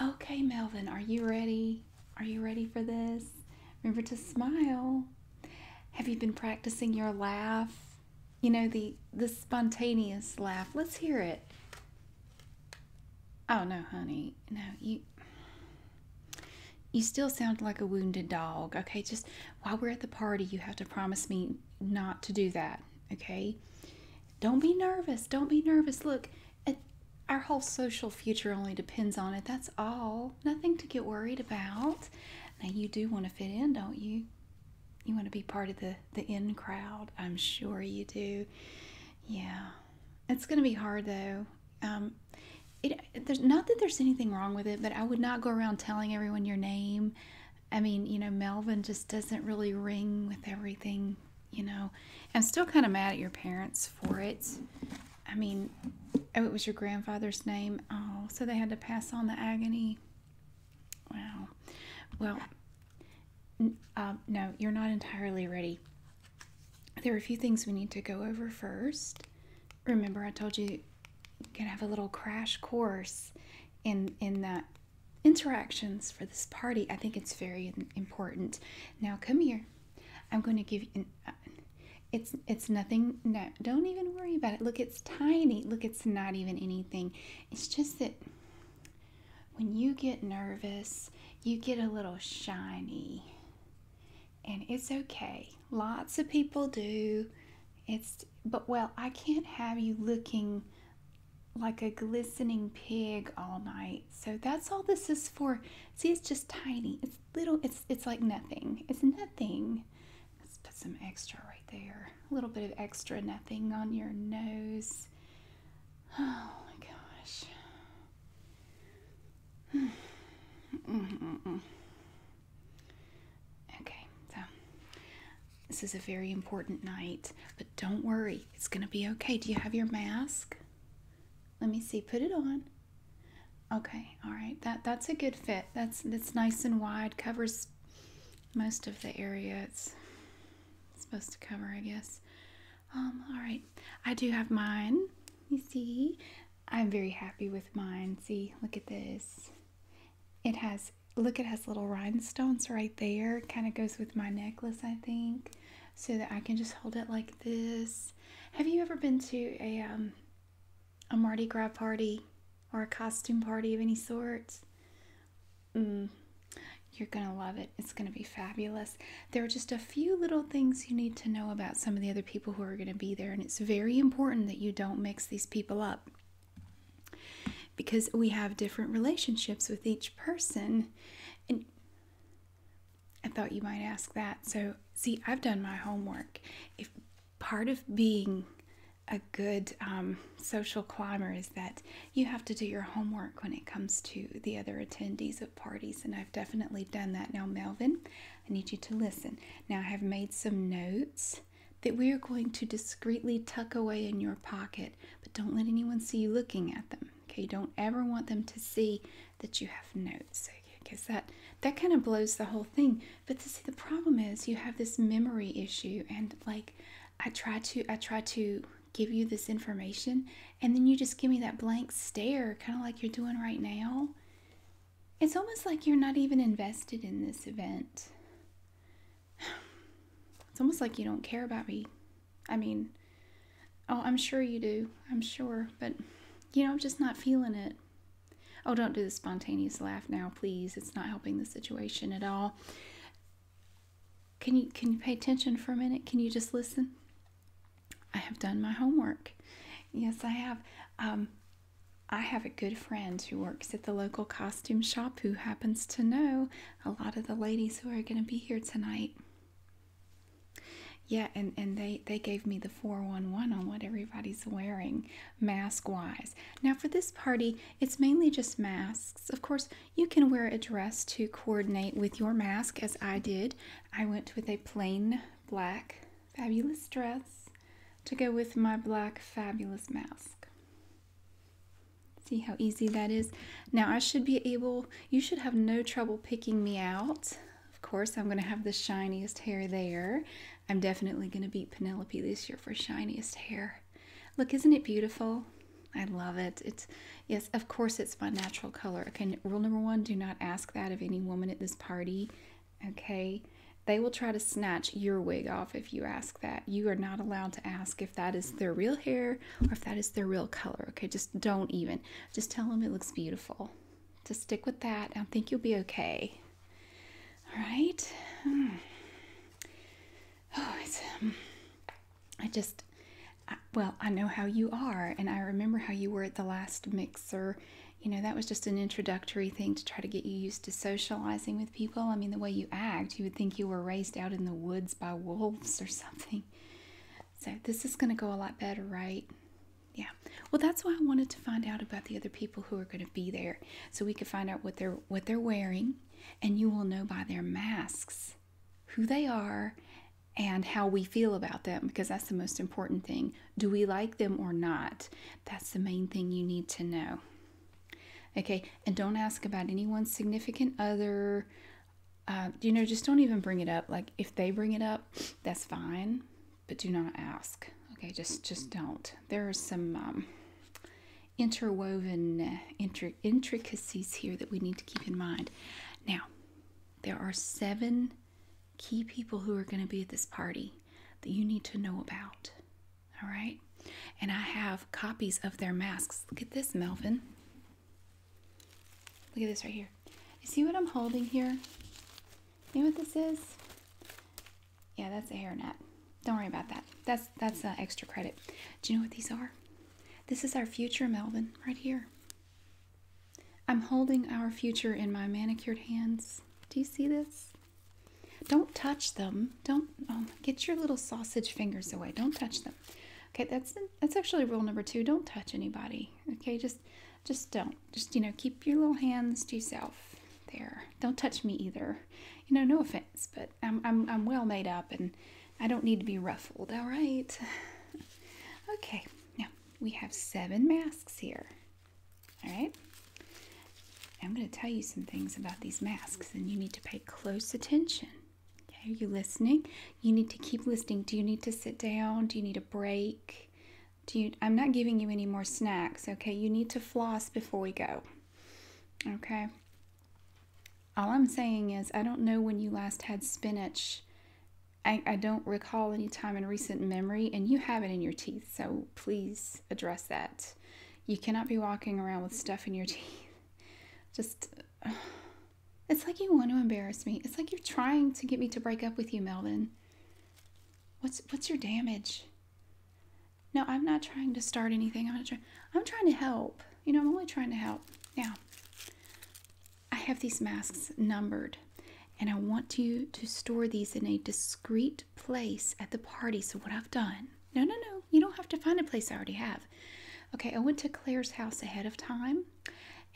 Okay, Melvin, are you ready? Are you ready for this? Remember to smile. Have you been practicing your laugh? You know, the, the spontaneous laugh. Let's hear it. Oh, no, honey. No, you, you still sound like a wounded dog. Okay, just while we're at the party, you have to promise me not to do that okay? Don't be nervous. Don't be nervous. Look, our whole social future only depends on it. That's all. Nothing to get worried about. Now, you do want to fit in, don't you? You want to be part of the, the in crowd. I'm sure you do. Yeah. It's going to be hard, though. Um, it, there's not that there's anything wrong with it, but I would not go around telling everyone your name. I mean, you know, Melvin just doesn't really ring with everything, you know. I'm still kind of mad at your parents for it. I mean, oh, it was your grandfather's name. Oh, so they had to pass on the agony. Wow. Well, um, no, you're not entirely ready. There are a few things we need to go over first. Remember, I told you you to have a little crash course in in that interactions for this party, I think it's very important. Now, come here. I'm going to give you. Uh, it's it's nothing. No, don't even worry about it. Look, it's tiny. Look, it's not even anything. It's just that when you get nervous, you get a little shiny, and it's okay. Lots of people do. It's but well, I can't have you looking like a glistening pig all night. So that's all this is for. See, it's just tiny. It's little. It's it's like nothing. It's nothing. Let's put some extra right there. A little bit of extra nothing on your nose. Oh my gosh. Mm-hmm. Okay, so this is a very important night, but don't worry, it's going to be okay. Do you have your mask? Let me see. Put it on. Okay, all right. That that's a good fit. That's that's nice and wide. Covers most of the area it's, supposed to cover, I guess. Um, all right. I do have mine. You see, I'm very happy with mine. See, look at this. It has, look, it has little rhinestones right there. Kind of goes with my necklace, I think, so that I can just hold it like this. Have you ever been to a, um, a Mardi Gras party or a costume party of any sort? Mm, you're going to love it. It's going to be fabulous. There are just a few little things you need to know about some of the other people who are going to be there, and it's very important that you don't mix these people up because we have different relationships with each person. And I thought you might ask that. So, see, I've done my homework. If part of being a good um, social climber is that you have to do your homework when it comes to the other attendees of parties, and I've definitely done that. Now, Melvin, I need you to listen. Now, I have made some notes that we are going to discreetly tuck away in your pocket, but don't let anyone see you looking at them. Okay, don't ever want them to see that you have notes. Because okay? that that kind of blows the whole thing. But to see the problem is you have this memory issue, and like I try to I try to give you this information, and then you just give me that blank stare, kind of like you're doing right now. It's almost like you're not even invested in this event it's almost like you don't care about me. I mean, oh, I'm sure you do. I'm sure. But, you know, I'm just not feeling it. Oh, don't do the spontaneous laugh now, please. It's not helping the situation at all. Can you can you pay attention for a minute? Can you just listen? I have done my homework. Yes, I have. Um, I have a good friend who works at the local Costco costume shop who happens to know a lot of the ladies who are going to be here tonight. Yeah, and, and they, they gave me the 411 on what everybody's wearing mask wise. Now, for this party, it's mainly just masks. Of course, you can wear a dress to coordinate with your mask, as I did. I went with a plain black fabulous dress to go with my black fabulous mask. See how easy that is? Now I should be able, you should have no trouble picking me out. Of course, I'm gonna have the shiniest hair there. I'm definitely gonna beat Penelope this year for shiniest hair. Look, isn't it beautiful? I love it. It's yes, of course it's my natural color. Okay, rule number one, do not ask that of any woman at this party. Okay. They will try to snatch your wig off if you ask that. You are not allowed to ask if that is their real hair or if that is their real color. Okay, just don't even. Just tell them it looks beautiful. Just stick with that. I think you'll be okay. All right. Hmm. Oh, it's. Um, I just. well, I know how you are, and I remember how you were at the last mixer. You know, that was just an introductory thing to try to get you used to socializing with people. I mean, the way you act. You would think you were raised out in the woods by wolves or something. So, this is going to go a lot better, right? Yeah. Well, that's why I wanted to find out about the other people who are going to be there so we could find out what they're what they're wearing and you will know by their masks who they are and how we feel about them because that's the most important thing. Do we like them or not? That's the main thing you need to know. Okay, and don't ask about anyone's significant other. Uh, you know, just don't even bring it up. Like if they bring it up, that's fine, but do not ask. Okay, just just don't. There are some um, interwoven uh, intricacies here that we need to keep in mind. Now, there are seven key people who are going to be at this party that you need to know about. All right. And I have copies of their masks. Look at this, Melvin. Look at this right here. You see what I'm holding here? You know what this is? Yeah, that's a hairnet. Don't worry about that. That's that's uh, extra credit. Do you know what these are? This is our future, Melvin, right here. I'm holding our future in my manicured hands. Do you see this? Don't touch them. Don't oh, get your little sausage fingers away. Don't touch them. Okay, that's that's actually rule number two. Don't touch anybody. Okay, just just don't. Just you know, keep your little hands to yourself. There. Don't touch me either. You know, no offense, but I'm I'm I'm well made up and I don't need to be ruffled. All right. okay. Now we have seven masks here. All right. I'm going to tell you some things about these masks, and you need to pay close attention. Okay, are you listening? You need to keep listening. Do you need to sit down? Do you need a break? Do you? I'm not giving you any more snacks. Okay, you need to floss before we go. Okay. All I'm saying is, I don't know when you last had spinach. I, I don't recall any time in recent memory, and you have it in your teeth, so please address that. You cannot be walking around with stuff in your teeth. Just, it's like you want to embarrass me. It's like you're trying to get me to break up with you, Melvin. What's what's your damage? No, I'm not trying to start anything. I'm trying. I'm trying to help. You know, I'm only trying to help. Now, I have these masks numbered, and I want you to store these in a discreet place at the party. So what I've done? No, no, no you don't have to find a place I already have. Okay, I went to Claire's house ahead of time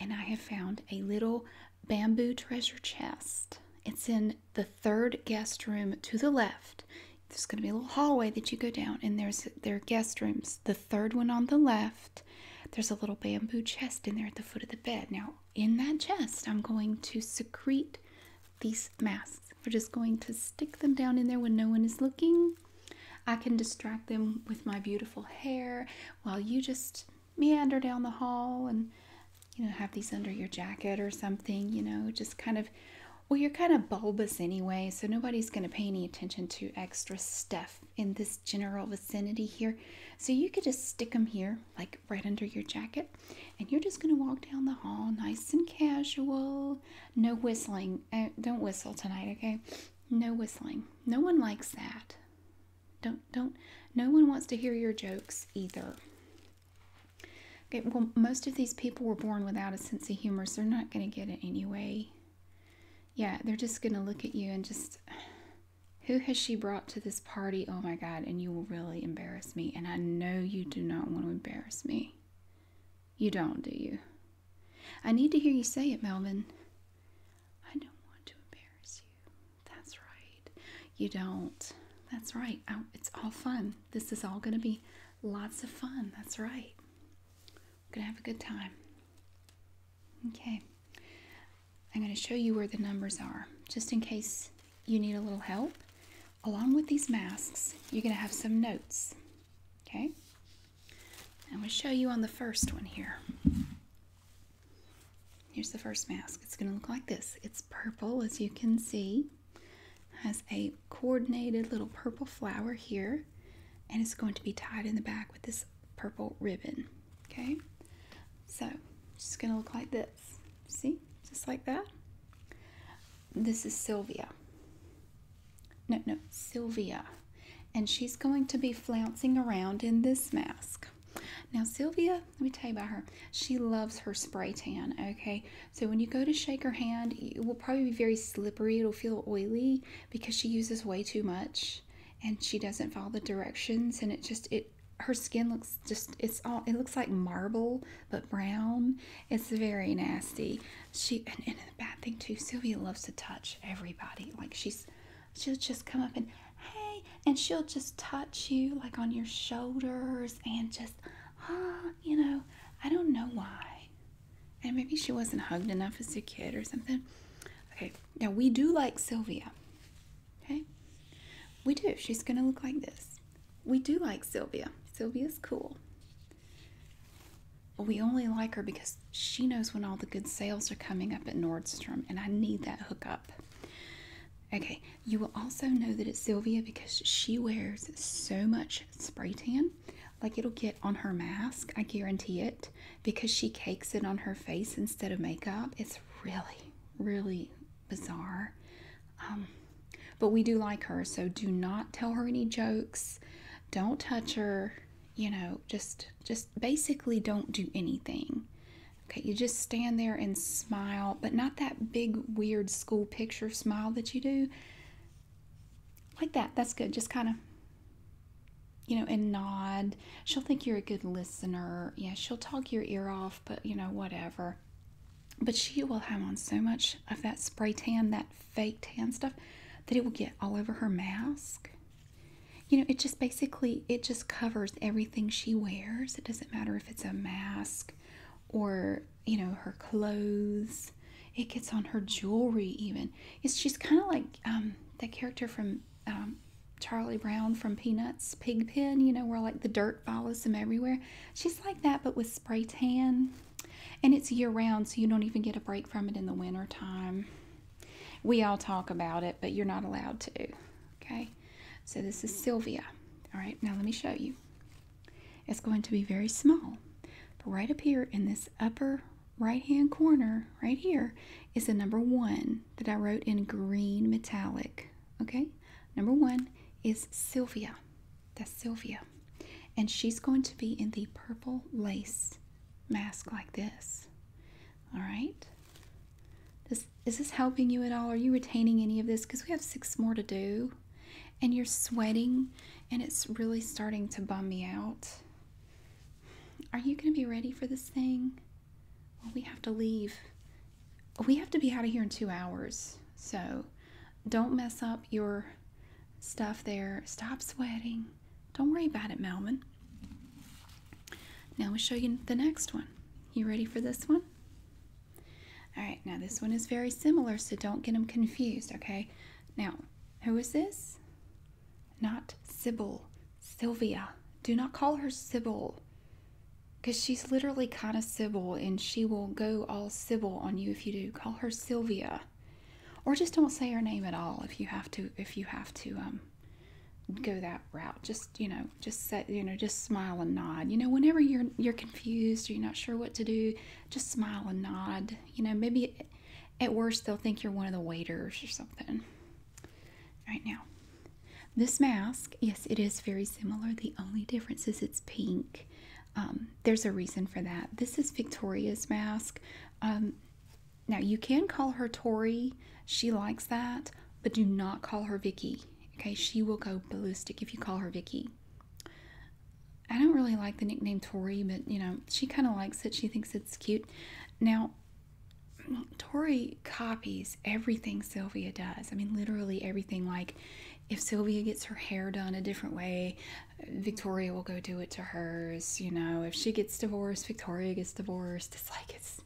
and I have found a little bamboo treasure chest. It's in the third guest room to the left. There's going to be a little hallway that you go down, and there's their guest rooms. The third one on the left, there's a little bamboo chest in there at the foot of the bed. Now, in that chest, I'm going to secrete these masks. We're just going to stick them down in there when no one is looking. I can distract them with my beautiful hair while you just meander down the hall and you know have these under your jacket or something, you know, just kind of well, you're kind of bulbous anyway, so nobody's going to pay any attention to extra stuff in this general vicinity here. So you could just stick them here, like right under your jacket, and you're just going to walk down the hall nice and casual, no whistling. Uh, don't whistle tonight, okay? No whistling. No one likes that. Don't don't no one wants to hear your jokes either. Okay, well most of these people were born without a sense of humor, so they're not going to get it anyway. Yeah, they're just going to look at you and just who has she brought to this party? Oh my god, and you will really embarrass me and I know you do not want to embarrass me. You don't, do you? I need to hear you say it, Melvin. I don't want to embarrass you. That's right. You don't. That's right. Oh, it's all fun. This is all going to be lots of fun. That's right. going to have a good time. Okay. I'm going to show you where the numbers are, just in case you need a little help along with these masks, you're going to have some notes. Okay? I'm going to show you on the first one here. Here's the first mask. It's going to look like this. It's purple, as you can see. Has a coordinated little purple flower here, and it's going to be tied in the back with this purple ribbon. Okay? So, it's going to look like this. See? Just like that this is Sylvia. No, no, Sylvia. And she's going to be flouncing around in this mask. Now, Sylvia, let me tell you about her. She loves her spray tan, okay? So when you go to shake her hand, it will probably be very slippery. It'll feel oily because she uses way too much and she doesn't follow the directions and it just, it, her skin looks just, it's all, it looks like marble but brown. It's very nasty. She and, the bad thing too, Sylvia loves to touch everybody. Like she's she'll just come up and hey, and she'll just touch you like on your shoulders and just ah, you know, I don't know why. And maybe she wasn't hugged enough as a kid or something. Okay, now we do like Sylvia. Okay? We do. She's gonna look like this we do like Sylvia. Sylvia's cool. We only like her because she knows when all the good sales are coming up at Nordstrom, and I need that hookup. Okay, you will also know that it's Sylvia because she wears so much spray tan. Like it'll get on her mask, I guarantee it, because she cakes it on her face instead of makeup. It's really, really bizarre. Um, but we do like her, so do not tell her any jokes. Don't touch her. You know, just just basically don't do anything. Okay, you just stand there and smile, but not that big weird school picture smile that you do. Like that. That's good. Just kind of you know, and nod. She'll think you're a good listener. Yeah, she'll talk your ear off, but you know, whatever. But she will have on so much of that spray tan, that fake tan stuff, that it will get all over her mask. You know, it just basically it just covers everything she wears. It doesn't matter if it's a mask or, you know, her clothes. It gets on her jewelry even. It's she's kind of like um that character from um, Charlie Brown from Peanuts, Pigpen, you know, where like the dirt follows them everywhere. She's like that, but with spray tan and it's year round, so you don't even get a break from it in the winter time. We all talk about it, but you're not allowed to. Okay, so this is Sylvia. All right, now let me show you. It's going to be very small, but right up here in this upper right hand corner, right here, is the number one that I wrote in green metallic. Okay, number one is Sylvia. That's Sylvia. And she's going to be in the purple lace mask like this. All right. This, is this helping you at all? Are you retaining any of this? Because we have six more to do. And you're sweating and it's really starting to bum me out. Are you going to be ready for this thing? Well, we have to leave. We have to be out of here in two hours. So don't mess up your stuff there. Stop sweating. Don't worry about it, Melvin. Now we'll show you the next one. You ready for this one? All right, now this one is very similar, so don't get them confused, okay? Now, who is this? Not Sybil. Sylvia. Do not call her Sybil because she's literally kind of Sybil and she will go all Sybil on you you if you do. Call her Sylvia, or just don't say her name at all if you have to. If you have to um, go that route, just you know, just say you know, just smile and nod. You know, whenever you're you're confused or you're not sure what to do, just smile and nod. You know, maybe at worst they'll think you're one of the waiters or something. Right now, this mask, yes, it is very similar. The only difference is it's pink. Um, there's a reason for that. This is Victoria's mask. Um, now you can call her Tori. She likes that, but do not call her Vicky. Okay, she will go ballistic if you call her Vicky. I don't really like the nickname Tori, but you know, she kind of likes it. She thinks it's cute. Now, Tori copies everything Sylvia does. I mean, literally everything. Like, if Sylvia gets her hair done a different way, Victoria will go do it to hers. You know, if she gets divorced, Victoria gets divorced. It's like it's,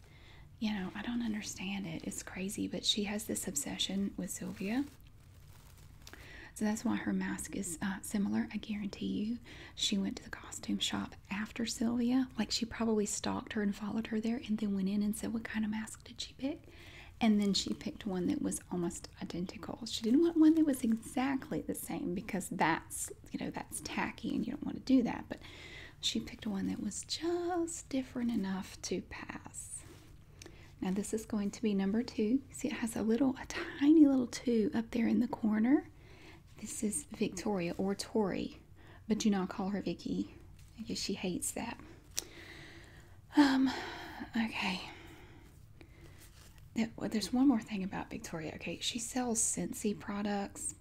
you know, I don't understand it. It's crazy, but she has this obsession with Sylvia. So that's why her mask is uh, similar. I guarantee you, she went to the costume shop after Sylvia. Like she probably stalked her and followed her there, and then went in and said, "What kind of mask did she pick?" And then she picked one that was almost identical. She didn't want one that was exactly the same because that's, you know, that's tacky and you don't want to do that. But she picked one that was just different enough to pass. Now this is going to be number two. See, it has a little, a tiny little two up there in the corner. This is Victoria or Tori, but do not call her Vicky. because she hates that. Um, okay. There's one more thing about Victoria. Okay, she sells Scentsy products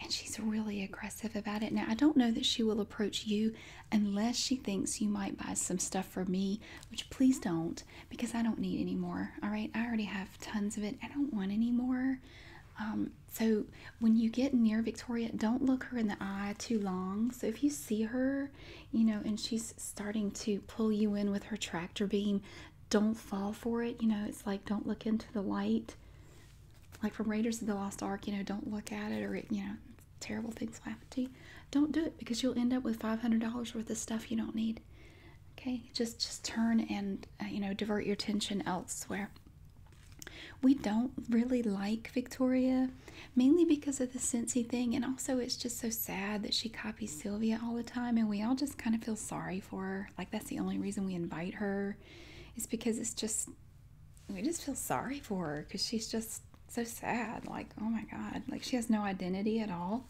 and she's really aggressive about it. Now, I don't know that she will approach you unless she thinks you might buy some stuff for me, which please don't because I don't need any more. All right, I already have tons of it. I don't want any more. Um, so when you get near Victoria, don't look her in the eye too long. So if you see her you know, and she's starting to pull you in with her tractor beam. Don't fall for it, you know, it's like don't look into the light. Like from Raiders of the Lost Ark, you know, don't look at it or you know, terrible things will happen to you. Don't do it because you'll end up with $500 worth of stuff you don't need. Okay, just just turn and uh, you know divert your attention elsewhere. We don't really like Victoria mainly because of the Cincy thing, and also it's just so sad that she copies Sylvia all the time, and we all just kind of feel sorry for her. Like that's the only reason we invite her, is because it's just we just feel sorry for her because she's just so sad. Like oh my god, like she has no identity at all.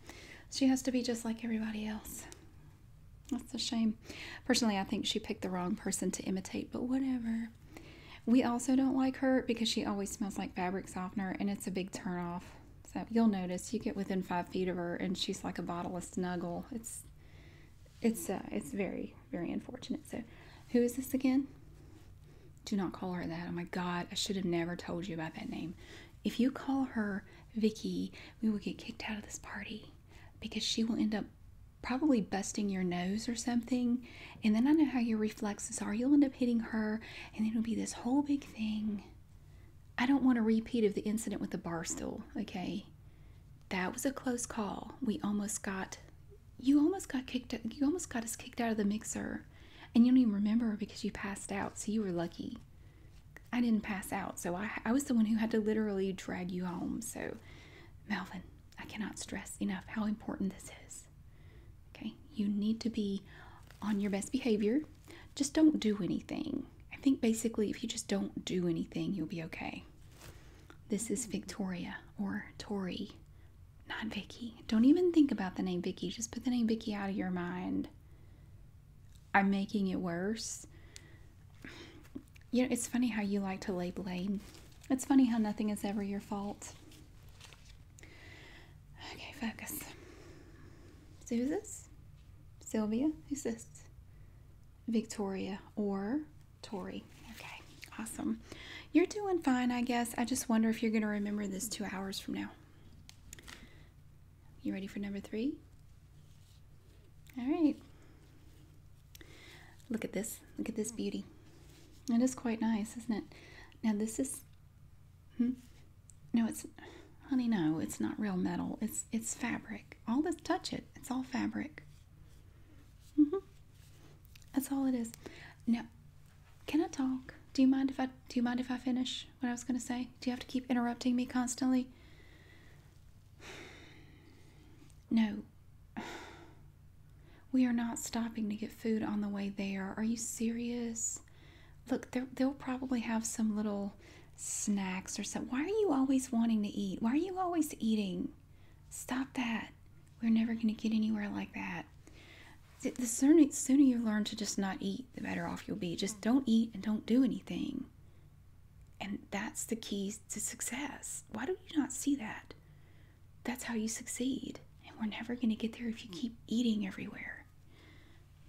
She has to be just like everybody else. That's a shame. Personally, I think she picked the wrong person to imitate, but whatever. We also don't like her because she always smells like fabric softener and it's a big turnoff. So you'll notice you get within five feet of her and she's like a bottle of snuggle. It's it's uh, it's very very unfortunate. So who is this again? Do not call her that. Oh my God, I should have never told you about that name. If you call her Vicky, we will get kicked out of this party because she will end up probably busting your nose or something and then I know how your reflexes are. You'll end up hitting her, and it'll be this whole big thing. I don't want a repeat of the incident with the bar stool, okay? That was a close call. We almost got you almost got kicked you almost got us kicked out of the mixer. And you don't even remember because you passed out, so you were lucky. I didn't pass out, so I, I was the one who had to literally drag you home. So, Melvin, I cannot stress enough how important this is. Okay, you need to be on your best behavior. Just don't do anything. I think basically, if you just don't do anything, you'll be okay. This is mm-hmm. Victoria or Tori, not Vicky. Don't even think about the name Vicky. Just put the name Vicky out of your mind. I'm making it worse. You know, it's funny how you like to lay blame. It's funny how nothing is ever your fault. Okay, focus. So who's this? Sylvia? Who's this? Victoria or Tori. Okay, awesome. You're doing fine, I guess. I just wonder if you're going to remember this two hours from now. You ready for number three? All right. Look at this. Look at this beauty. It is quite nice, isn't it? Now, this is Hmm? No, it's honey, no, it's not real metal. It's it's fabric. All this touch it. It's all fabric. Mm-hmm. That's all it is. Now, can I talk? Do you mind if I do you mind if I finish what I was gonna say? Do you have to keep interrupting me constantly? No. We are not stopping to get food on the way there. Are you serious? Look, they'll probably have some little snacks or something. Why are you always wanting to eat? Why are you always eating? Stop that. We're never going to get anywhere like that. The sooner, you learn to just not eat, the better off you'll be. Just don't eat and don't do anything. And that's the key to success. Why do you not see that? That's how you succeed. And we're never going to get there if you keep eating everywhere.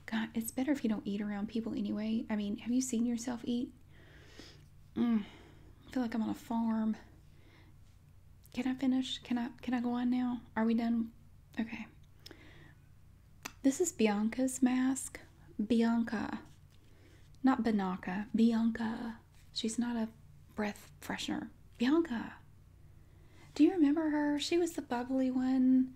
God, it's better if you don't eat around people anyway. I mean, have you seen yourself eat? Mm, I feel like I'm on a farm. Can I finish? Can I can I go on now? Are we done? Okay. This is Bianca's mask. Bianca. Not Banaka. Bianca. She's not a breath freshener. Bianca. Do you remember her? She was the bubbly one.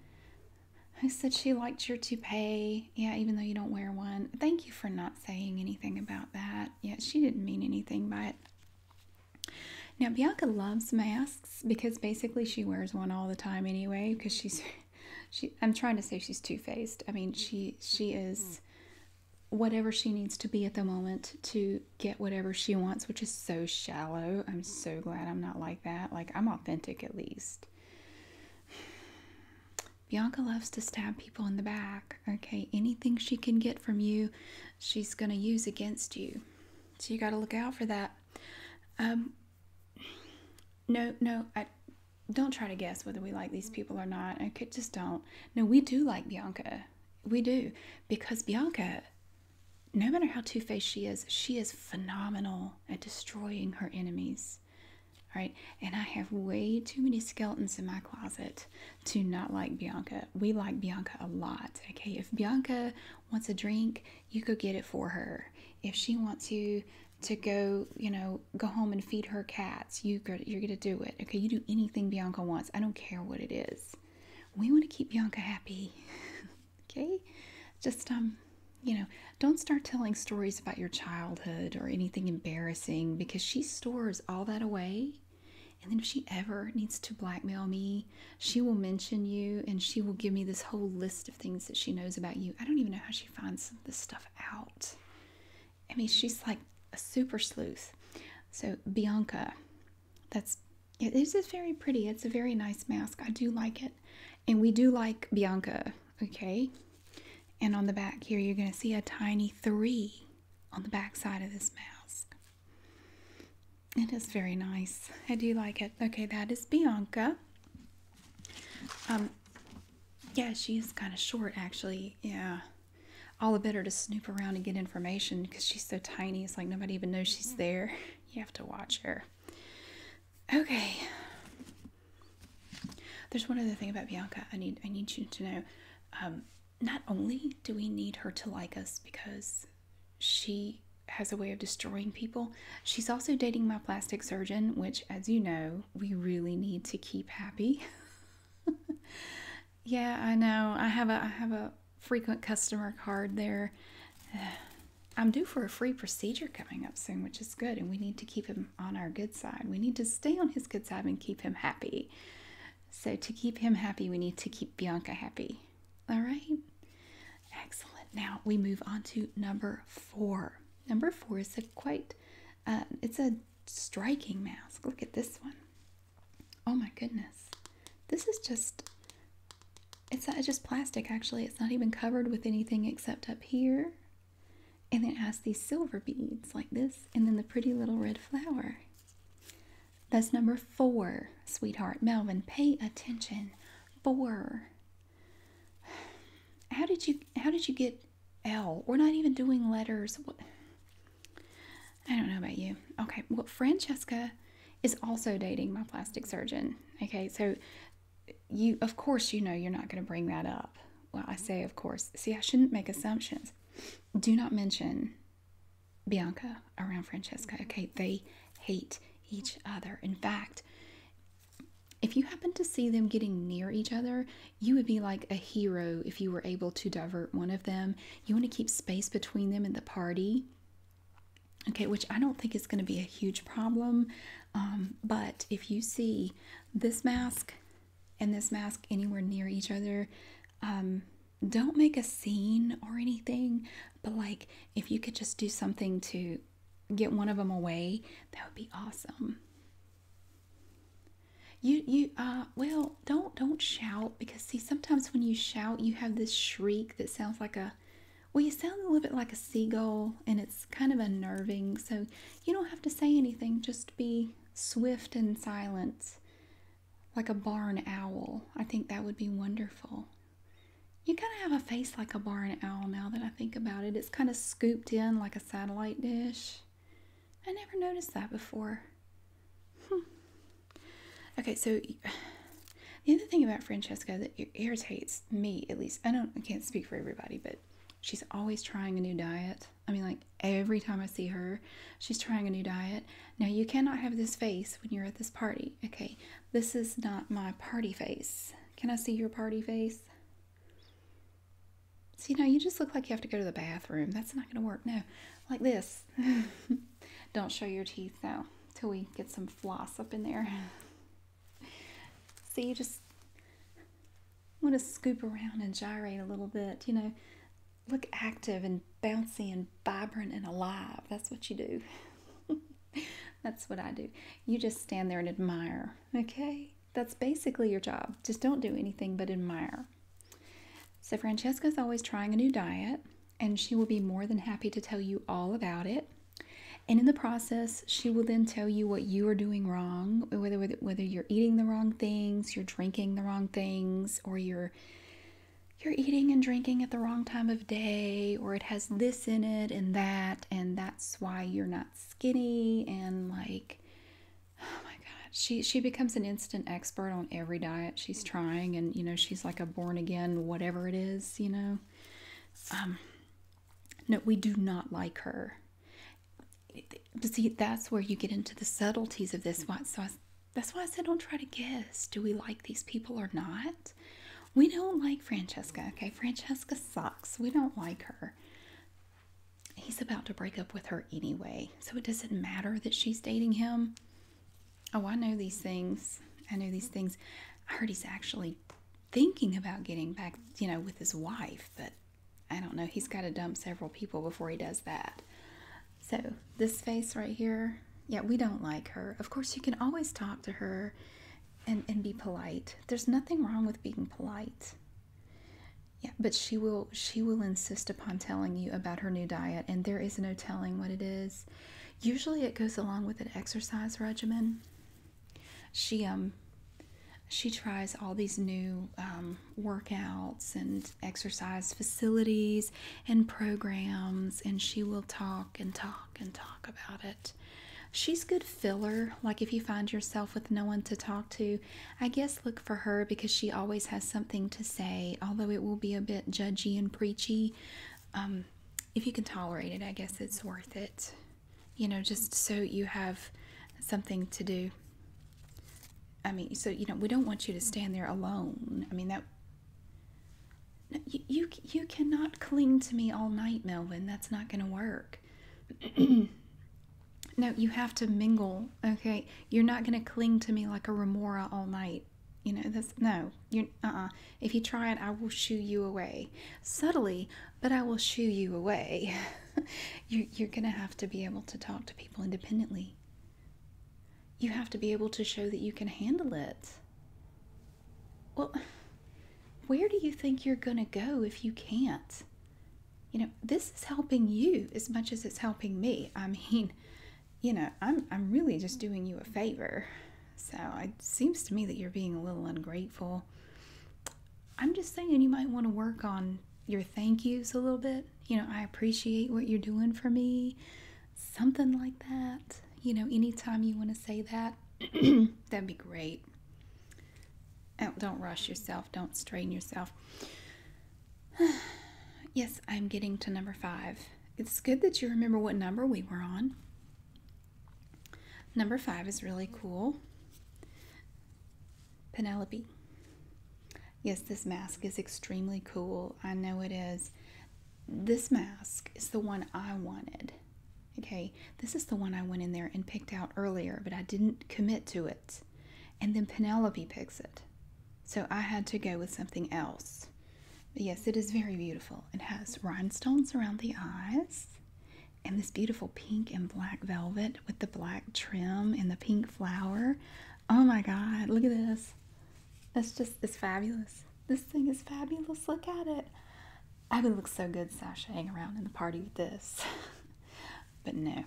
I said she liked your toupee. Yeah, even though you don't wear one. Thank you for not saying anything about that. Yeah, she didn't mean anything by it. Now, Bianca loves masks because basically she wears one all the time anyway because she's she I'm trying to say she's two-faced. I mean, she she is mm-hmm. whatever she needs to be at the moment to get whatever she wants, which is so shallow. I'm so glad I'm not like that. Like, I'm authentic at least. Bianca loves to stab people in the back. Okay, anything she can get from you, she's going to use against you. So you got to look out for that. Um, no, no, I don't try to guess whether we like these people or not. Okay, just don't. No, we do like Bianca. We do because Bianca no matter how two faced she is, she is phenomenal at destroying her enemies. All right, and I have way too many skeletons in my closet to not like Bianca. We like Bianca a lot. Okay, if Bianca wants a drink, you go get it for her. If she wants you to go, you know, go home and feed her cats, you go, you're gonna do it. Okay, you do anything Bianca wants. I don't care what it is we want to keep Bianca happy. okay? Just um, you know, don't start telling stories about your childhood or anything embarrassing because she stores all that away. And then if she ever needs to blackmail me, she will mention you and she will give me this whole list of things that she knows about you. I don't even know how she finds some of this stuff out. I mean, she's like a super sleuth. So, Bianca, that's this is very pretty. It's a very nice mask. I do like it. And we do like Bianca, okay? And on the back here, you're going to see a tiny three on the back side of this mask. It is very nice. I do like it. Okay, that is Bianca. Um, yeah, she is kind of short, actually. Yeah, all the better to snoop around and get information because she's so tiny. It's like nobody even knows she's mm-hmm. there. You have to watch her. Okay. There's one other thing about Bianca. I need I need you to know. Um, not only do we need her to like us because she has a way of destroying people, she's also dating my plastic surgeon, which, as you know, we really need to keep happy. Yeah, I know. I have a I have a frequent customer card there. I'm due for a free procedure coming up soon, which is good, and we need to keep him on our good side. We need to stay on his good side and keep him happy. So to keep him happy, we need to keep Bianca happy. All right. Excellent. Now we move on to number four. Number four is a quite, uh, it's a striking mask. Look at this one. Oh my goodness. This is just, it's, just plastic actually. It's not even covered with anything except up here. And then it has these silver beads like this, and then the pretty little red flower. That's number four, sweetheart. Melvin, pay attention. Four. How did you how did you get L? We're not even doing letters. What I don't know about you. Okay, well, Francesca is also dating my plastic surgeon. Okay, so you, of course, you know you're not going to bring that up. Well, I say, of course. See, I shouldn't make assumptions. Do not mention Bianca around Francesca. Okay, they hate each other. In fact, if you happen to see them getting near each other, you would be like a hero if you were able to divert one of them you want to keep space between them and the party. Okay, which I don't think is going to be a huge problem. Um, but if you see this mask and this mask anywhere near each other, um, don't make a scene or anything. But like, if you could just do something to get one of them away, that would be awesome. You, you, uh, well, don't don't shout because see sometimes when you shout you have this shriek that sounds like a well you sound a little bit like a seagull and it's kind of unnerving so you don't have to say anything just be swift in silence like a barn owl i think that would be wonderful you kind of have a face like a barn owl now that i think about it it's kind of scooped in like a satellite dish i never noticed that before Hmm. Okay, so the other thing about Francesca that irritates me, at least, I don't, I can't speak for everybody, but she's always trying a new diet. I mean, like every time I see her, she's trying a new diet. Now, you cannot have this face when you're at this party. Okay, this is not my party face. Can I see your party face? See, now you just look like you have to go to the bathroom. That's not going to work. No, like this. Don't show your teeth though till we get some floss up in there. so you just want to scoop around and gyrate a little bit, you know, look active and bouncy and vibrant and alive. That's what you do. That's what I do. You just stand there and admire, okay? That's basically your job. Just don't do anything but admire. So, Francesca is always trying a new diet, and she will be more than happy to tell you all about it. And in the process, she will then tell you what you are doing wrong, whether whether you're eating the wrong things, you're drinking the wrong things, or you're you're eating and drinking at the wrong time of day, or it has this in it and that, and that's why you're not skinny and like oh my god. She she becomes an instant expert on every diet she's trying and you know she she's like a born again, whatever it is, you know. Um, no, we do not like her. see, that's where you get into the subtleties of this. So that's why I said don't try to guess. Do we like these people or not? We don't like Francesca, okay? Francesca sucks. We don't like her. He's about to break up with her anyway, so it doesn't matter that she's dating him. Oh, I know these things. I know these things. I heard he's actually thinking about getting back, you know, with his wife, but I don't know. He's got to dump several people before he does that. So, this face right here, yeah, we don't like her. Of course, you can always talk to her and, and be polite. There's nothing wrong with being polite. Yeah, but she will she will insist upon telling you about her new diet, and there is no telling what it is. Usually, it goes along with an exercise regimen. She um, she tries all these new um, workouts and exercise facilities and programs, and she will talk and talk and talk about it. She's good filler. Like if you find yourself with no one to talk to, I guess look for her because she always has some something to say, although it will be a bit judgy and preachy, um, if you can tolerate it, I guess it's worth it. You know, just so you have something to do. I mean, so you know, we don't want you to stand there alone. I mean that. you you cannot cling to me all night, Melvin. That's not going to work. no, you have to mingle. Okay, you're not going to cling to me like a remora all night you know, that's no, you uh uh. If you try it, I will shoo you away. Subtly, but I will shoo you away. you're, you're gonna have to be able to talk to people independently. You have to be able to show that you can handle it. Well, where do you think you're gonna go if you can't? You know, this is helping you as much as it's helping me. I mean, you know, I'm, I'm really just doing you a favor. So it seems to me that you're being a little ungrateful. I'm just saying you might want to work on your thank yous a little bit. You know, I appreciate what you're doing for me. Something like that. You know, anytime you want to say that, that'd be great. Oh, don't rush yourself. Don't strain yourself. yes, I'm getting to number five. It's good that you remember what number we were on. Number five is really cool. Penelope. Yes, this mask is extremely cool. I know it is. This mask is the one I wanted. Okay, this is the one I went in there and picked out earlier, but I didn't commit to it. And then Penelope picks it. So I had to go with something else. But yes, it is very beautiful. It has rhinestones around the eyes and this beautiful pink and black velvet with the black trim and the pink flower. Oh my God, look at this. That's just, it's fabulous. This thing is fabulous. Look at it. I would look so good sashaying around in the party with this. but no.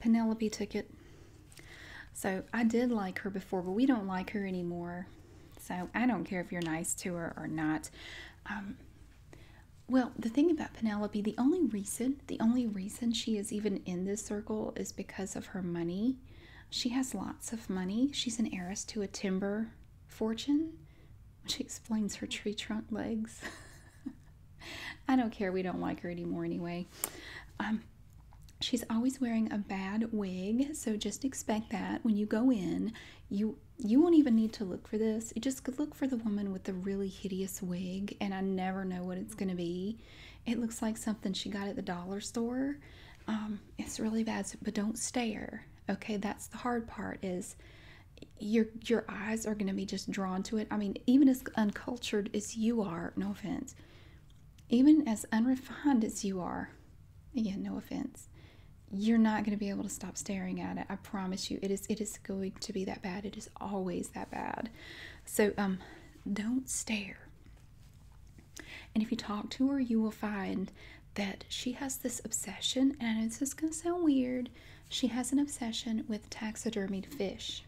Penelope took it. So I did like her before, but we don't like her anymore. So I don't care if you're nice to her or not. Um, well, the thing about Penelope, the only reason, the only reason she is even in this circle is because of her money. She has lots of money. She's an heiress to a timber fortune, which explains her tree trunk legs. I don't care. We don't like her anymore anyway. Um, she's always wearing a bad wig, so just expect that when you go in, you you won't even need to look for this. You just look for the woman with the really hideous wig, and I never know what it's going to be. It looks like something she got at the dollar store. Um, it's really bad, but don't stare. Okay, that's the hard part. Is your your eyes are going to be just drawn to it. I mean, even as uncultured as you are, no offense, even as unrefined as you are, again, no offense, you're not going to be able to stop staring at it. I promise you, it is it is going to be that bad. It is always that bad. So um, don't stare. And if you talk to her, you will find that she has this obsession, and this is going to sound weird. She has an obsession with taxidermied fish.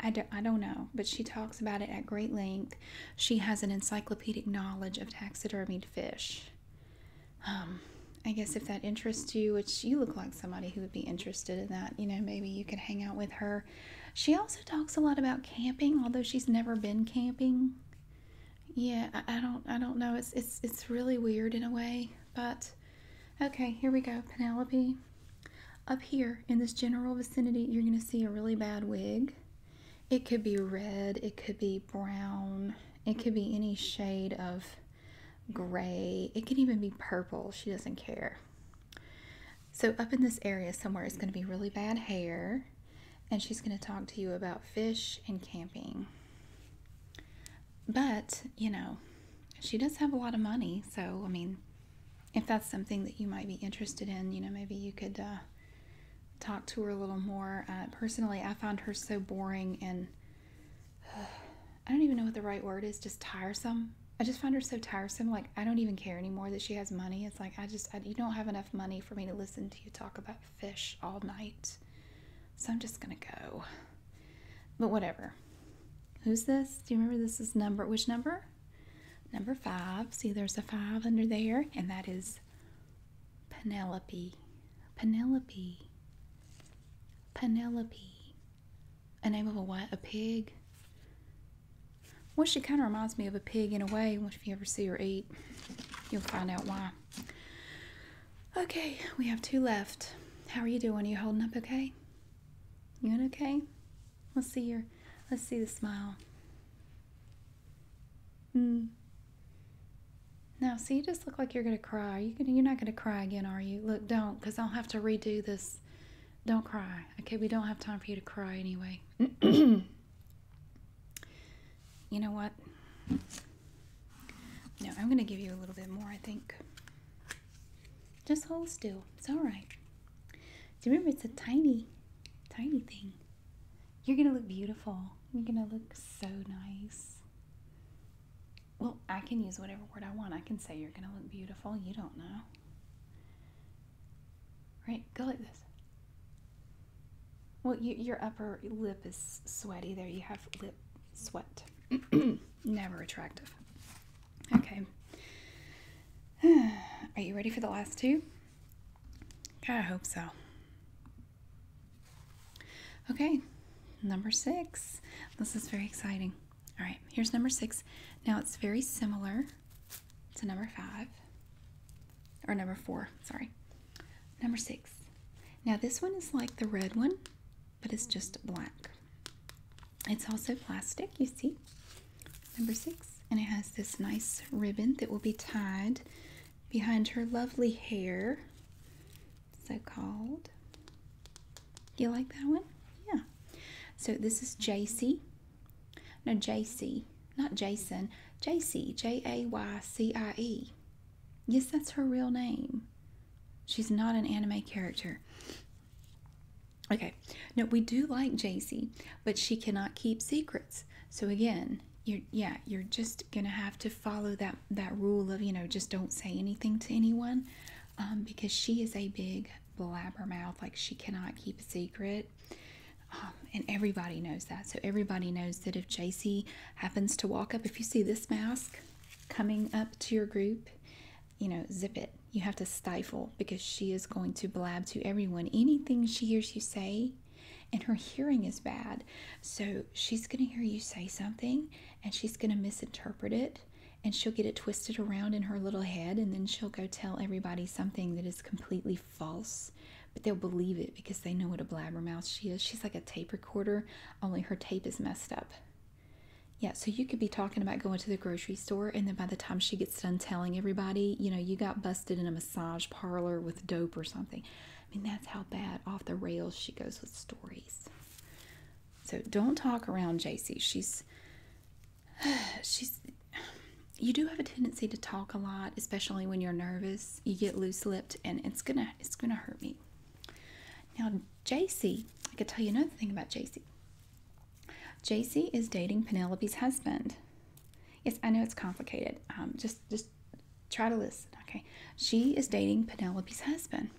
I don't, I don't know, but she talks about it at great length. She has an encyclopedic knowledge of taxidermied fish. Um, I guess if that interests you, which you look like somebody who would be interested in that, you know, maybe you could hang out with her. She also talks a lot about camping, although she's never been camping. Yeah, I don't, I don't know. It's, it's, it's really weird in a way, but okay. Here we go, Penelope. Up here in this general vicinity, you're going to see a really bad wig. It could be red, it could be brown, it could be any shade of gray, it could even be purple. She doesn't care. So, up in this area somewhere is going to be really bad hair, and she's going to talk to you about fish and camping. But, you know, she does have a lot of money, so I mean, if that's something that you might be interested in, you know, maybe you could uh, talk to her a little more. Uh, personally, I find her so boring and I don't even know what the right word is, just tiresome. I just find her so tiresome. Like, I don't even care anymore that she has money. It's like, I just, you don't have enough money for me to listen to you talk about fish all night. So I'm just going to go. But whatever. Who's this? Do you remember this is number? Which number? Number five, see there's a five under there, and that is Penelope. Penelope. Penelope. A name of a what? A pig? Well, she kind of reminds me of a pig in a way. If you ever see her eat, you'll find out why. Okay, we have two left. How are you doing? Are you holding up okay? You doing okay? Let's see your let's see the smile. Hmm. Now, see, you just look like you're gonna cry. you Are gonna, you're not gonna cry again, are you? Look, don't, cause I'll have to redo this. Don't cry, okay? We don't have time for you to cry anyway. you know what? No, I'm gonna give you a little bit more. I think. Just hold still. It's all right. Do you remember it's a tiny, tiny thing? You're gonna look beautiful. You're gonna look so nice. Well, I can use whatever word I want. I can say you're gonna look beautiful. You don't know. Right? Go like this. Well, you, your upper lip is sweaty there. You have lip sweat. Never attractive. Okay. Are you ready for the last two? I hope so. Okay, number six. This is very exciting. All right, here's number six. Now it's very similar to number five, or number four, sorry. Number six. Now this one is like the red one, but it's just black. It's also plastic, you see, number six, and it has this nice ribbon that will be tied behind her lovely hair, so called. You like that one? Yeah. So this is JC. No, JC, not Jason. JC, J A Y C I E. Yes, that's her real name. She's not an anime character. Okay, no, we do like jay but she cannot keep secrets. So again, you're yeah, you're just gonna have to follow that that rule of you know just don't say anything to anyone, um, because she is a big blabbermouth. Like she cannot keep a secret. Um, and everybody knows that. So everybody knows that if JC happens to walk up, if you see this mask coming up to your group you know, zip it. You have to stifle because she is going to blab to everyone anything she hears you say, and her hearing is bad. So she's going to hear you say something and she's going to misinterpret it and she'll get it twisted around in her little head and then she'll go tell everybody something that is completely false but they'll believe it because they know what a blabbermouth she is she's like a tape recorder only her tape is messed up yeah, so you could be talking about going to the grocery store, and then by the time she gets done telling everybody, you know, you got busted in a massage parlor with dope or something. I mean, that's how bad off the rails she goes with stories. So don't talk around JC. She's, she's, you do have a tendency to talk a lot, especially when you're nervous. You get loose lipped, and it's gonna, it's gonna hurt me. Now, JC, I could tell you another thing about JC. JC is dating Penelope's husband. Yes, I know it's complicated. Um, just, just try to listen, okay? She is dating Penelope's husband.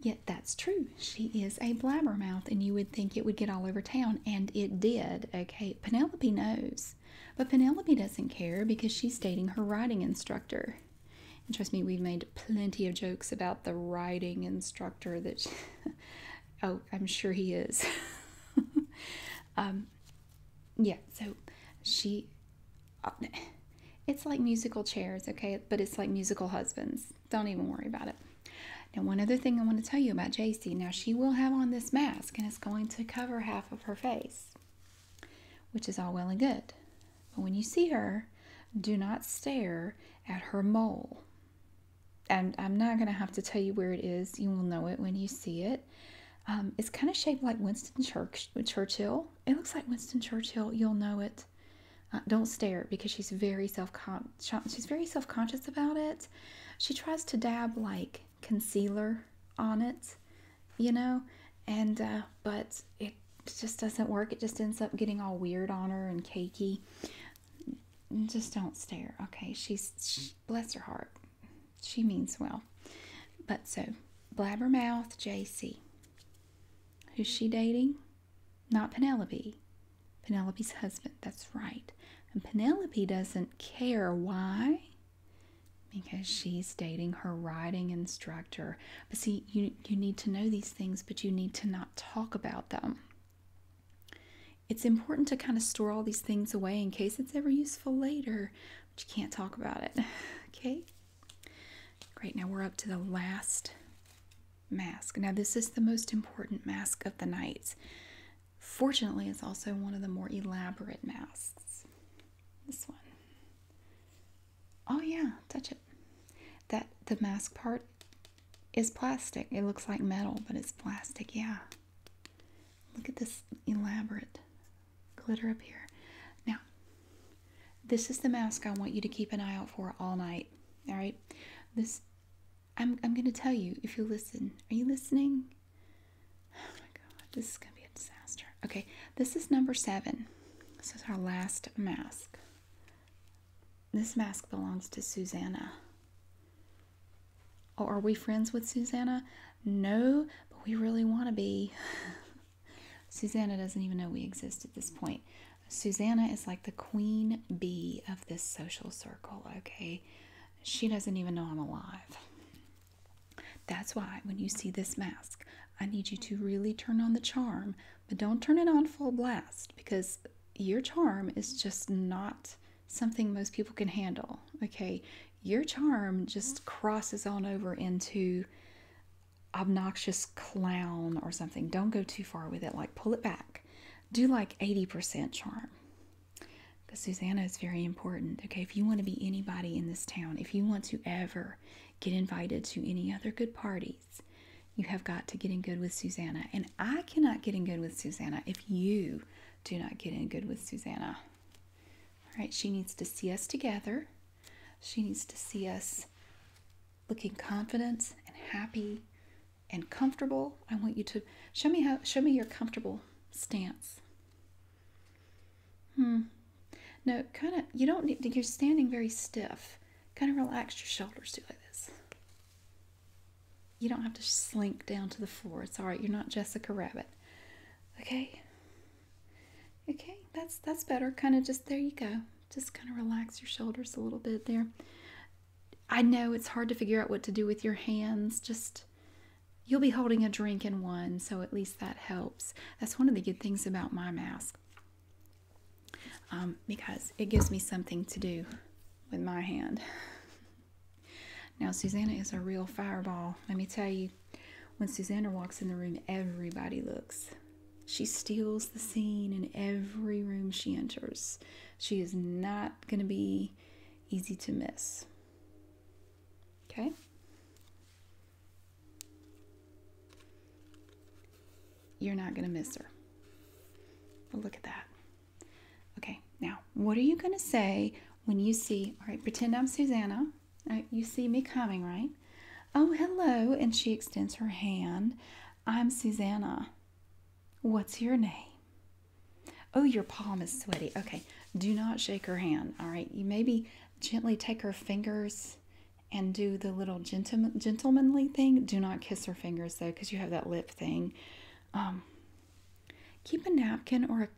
Yet that's true. She is a blabbermouth, and you would think it would get all over town, and it did, okay? Penelope knows. But Penelope doesn't care because she's dating her writing instructor. And trust me, we've made plenty of jokes about the writing instructor that she, Oh, I'm sure he is. um, yeah, so she. It's like musical chairs, okay? But it's like musical husbands. Don't even worry about it. Now, one other thing I want to tell you about JC. Now, she will have on this mask and it's going to cover half of her face, which is all well and good. But when you see her, do not stare at her mole. And I'm not going to have to tell you where it is. You will know it when you see it. Um, it's kind of shaped like Winston Churchill. It looks like Winston Churchill. You'll know it. Uh, don't stare because she's very self she's very self conscious about it. She tries to dab like concealer on it, you know, and uh, but it just doesn't work. It just ends up getting all weird on her and cakey just don't stare. Okay, she's bless her heart, she means well. But so blabbermouth JC, who's she dating? Not Penelope, Penelope's husband. That's right. And Penelope doesn't care why, because she's dating her writing instructor. But see, you you need to know these things, but you need to not talk about them. It's important to kind of store all these things away in case it's ever useful later, but you can't talk about it. okay? Great, now we're up to the last mask. Now, this is the most important mask of the night. Fortunately, it's also one of the more elaborate masks. This one. Oh, yeah, touch it. That the mask part is plastic. It looks like metal, but it's plastic, yeah. Look at this elaborate glitter up here. Now, this is the mask I want you to keep an eye out for all night, all right? This, I'm, I'm going to tell you if you listen. Are you listening? Oh my god, this is going to be a disaster. Okay, this is number seven. This is our last mask. This mask belongs to Susanna. Oh, are we friends with Susanna? No, but we really want to be. Susanna doesn't even know we exist at this point. Susanna is like the queen bee of this social circle, okay? She doesn't even know I'm alive. That's why when you see this mask, I need you to really turn on the charm but don't turn it on full blast because your charm is just not something most people can handle. Okay, your charm just crosses on over into obnoxious clown or something. Don't go too far with it, like pull it back. Do like 80% charm because Susanna is very important. Okay, if you want to be anybody in this town, if you want to ever get invited to any other good party, you have got to get in good with Susanna. And I cannot get in good with Susanna if you do not get in good with Susanna. All right, she needs to see us together. She needs to see us looking confident and happy and comfortable. I want you to show me how show me your comfortable stance. Hmm. No, kind of you don't need you're standing very stiff. Kind of relax your shoulders do like this. You don't have to slink down to the floor. It's all right. You're not Jessica Rabbit. Okay? Okay, that's that's better. Kind of just there you go. Just kind of relax your shoulders a little bit there. I know it's hard to figure out what to do with your hands. Just you'll be holding a drink in one, so at least that helps. That's one of the good things about my mask. Um, because it gives me something to do with my hand. now, Susanna is a real fireball. Let me tell you, when Susanna walks in the room, everybody looks. She steals the scene in every room she enters. She is not going to be easy to miss. Okay? you're not going to miss her. But look at that. Okay, now what are you going to say when you see, all right, pretend I'm Susanna. you see me coming, right? Oh, hello. And she extends her hand. I'm Susanna. What's your name? Oh, your palm is sweaty. Okay, do not shake her hand. All right, you maybe gently take her fingers and do the little gentlemanly thing. Do not kiss her fingers though, because you have that lip thing. Um, keep a napkin or a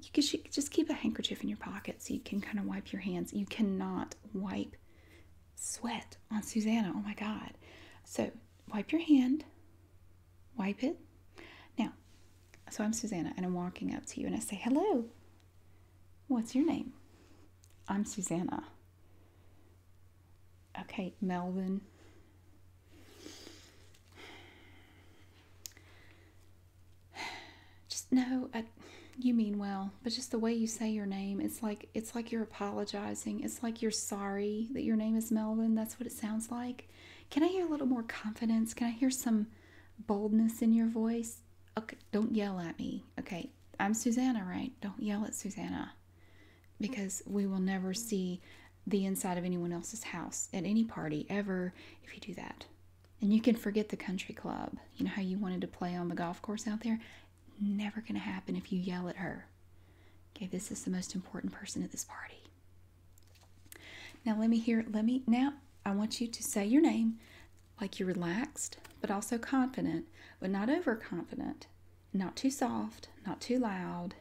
you can just keep a handkerchief in your pocket so you can kind of wipe your hands. You cannot wipe sweat on Susanna. Oh my God. So wipe your hand, wipe it. Now, so I'm Susanna and I'm walking up to you and I say, hello, what's your name? I'm Susanna. Okay, Melvin. Just no, I, you mean well, but just the way you say your name, it's like it's like you're apologizing. It's like you're sorry that your name is Melvin. That's what it sounds like. Can I hear a little more confidence? Can I hear some boldness in your voice? Okay, don't yell at me. Okay, I'm Susanna, right? Don't yell at Susanna because we will never see the inside of anyone else's house at any party ever if you do that. And you can forget the country club. You know how you wanted to play on the golf course out there? Never going to happen if you yell at her. Okay, this is the most important person at this party. Now let me hear, let me, now I want you to say your name like you're relaxed, but also confident, but not overconfident. Not too soft, not too loud,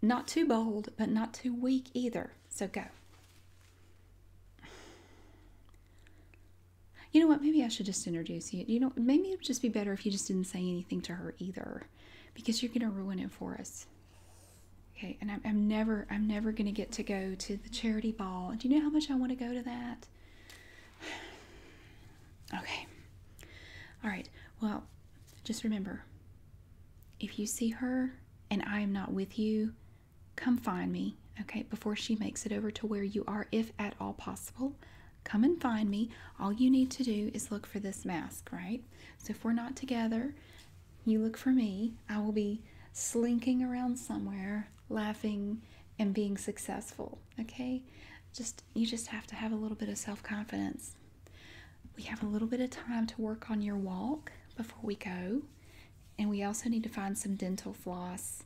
not too bold, but not too weak either. So go. You know what? Maybe I should just introduce you. You know, maybe it would just be better if you just didn't say anything to her either, because you're going to ruin it for us. Okay, and I'm, never, I'm never going to get to go to the charity ball. Do you know how much I want to go to that? Okay. All right. Well, just remember if you see her and I am not with you, come find me, okay, before she makes it over to where you are, if at all possible. Come and find me. All you need to do is look for this mask, right? So if we're not together, you look for me. I will be slinking around somewhere, laughing and being successful, okay? Just you just have to have a little bit of self confidence. We have a little bit of time to work on your walk before we go, and we also need to find some dental floss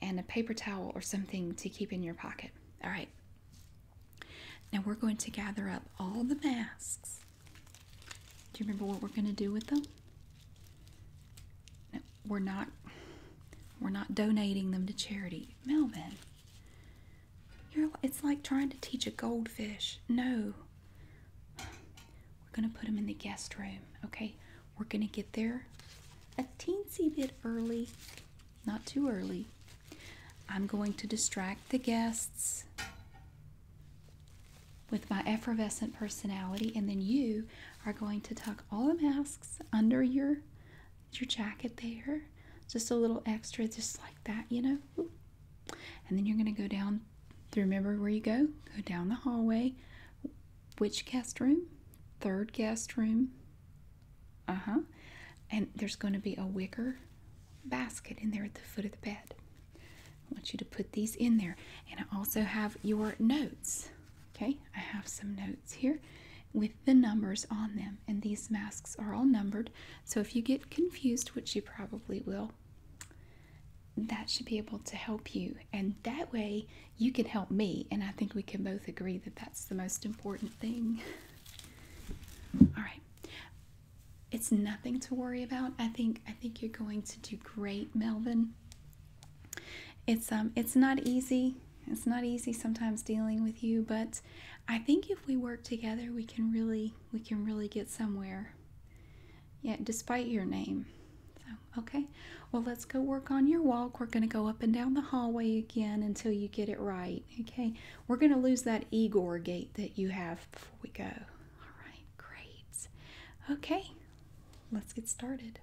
and a paper towel or something to keep in your pocket. All right. Now we're going to gather up all the masks. Do you remember what we're going to do with them? we're not we're not donating them to charity. Melvin, you're it's like trying to teach a goldfish. No. We're going to put them in the guest room, okay? We're going to get there a teensy bit early, not too early. I'm going to distract the guests with my effervescent personality, and then you are going to tuck all the masks under your your jacket there. Just a little extra, just like that, you know. And then you're going to go down. Remember where you go? Go down the hallway. Which guest room? Third guest room. Uh huh. And there's going to be a wicker basket in there at the foot of the bed. I want you to put these in there. And I also have your notes. Okay, I have some notes here with the numbers on them, and these masks are all numbered. So if you get confused, which you probably will, that should be able to help you. And that way, you can help me. And I think we can both agree that that's the most important thing. All right. It's nothing to worry about. I think I think you're going to do great, Melvin. It's um it's not easy. It's not easy sometimes dealing with you, but I think if we work together, we can really we can really get somewhere. Yeah, despite your name. So, okay. Well, let's go work on your walk. We're going to go up and down the hallway again until you get it right. Okay. We're going to lose that Igor gate that you have before we go. All right. Great. Okay. Let's get started.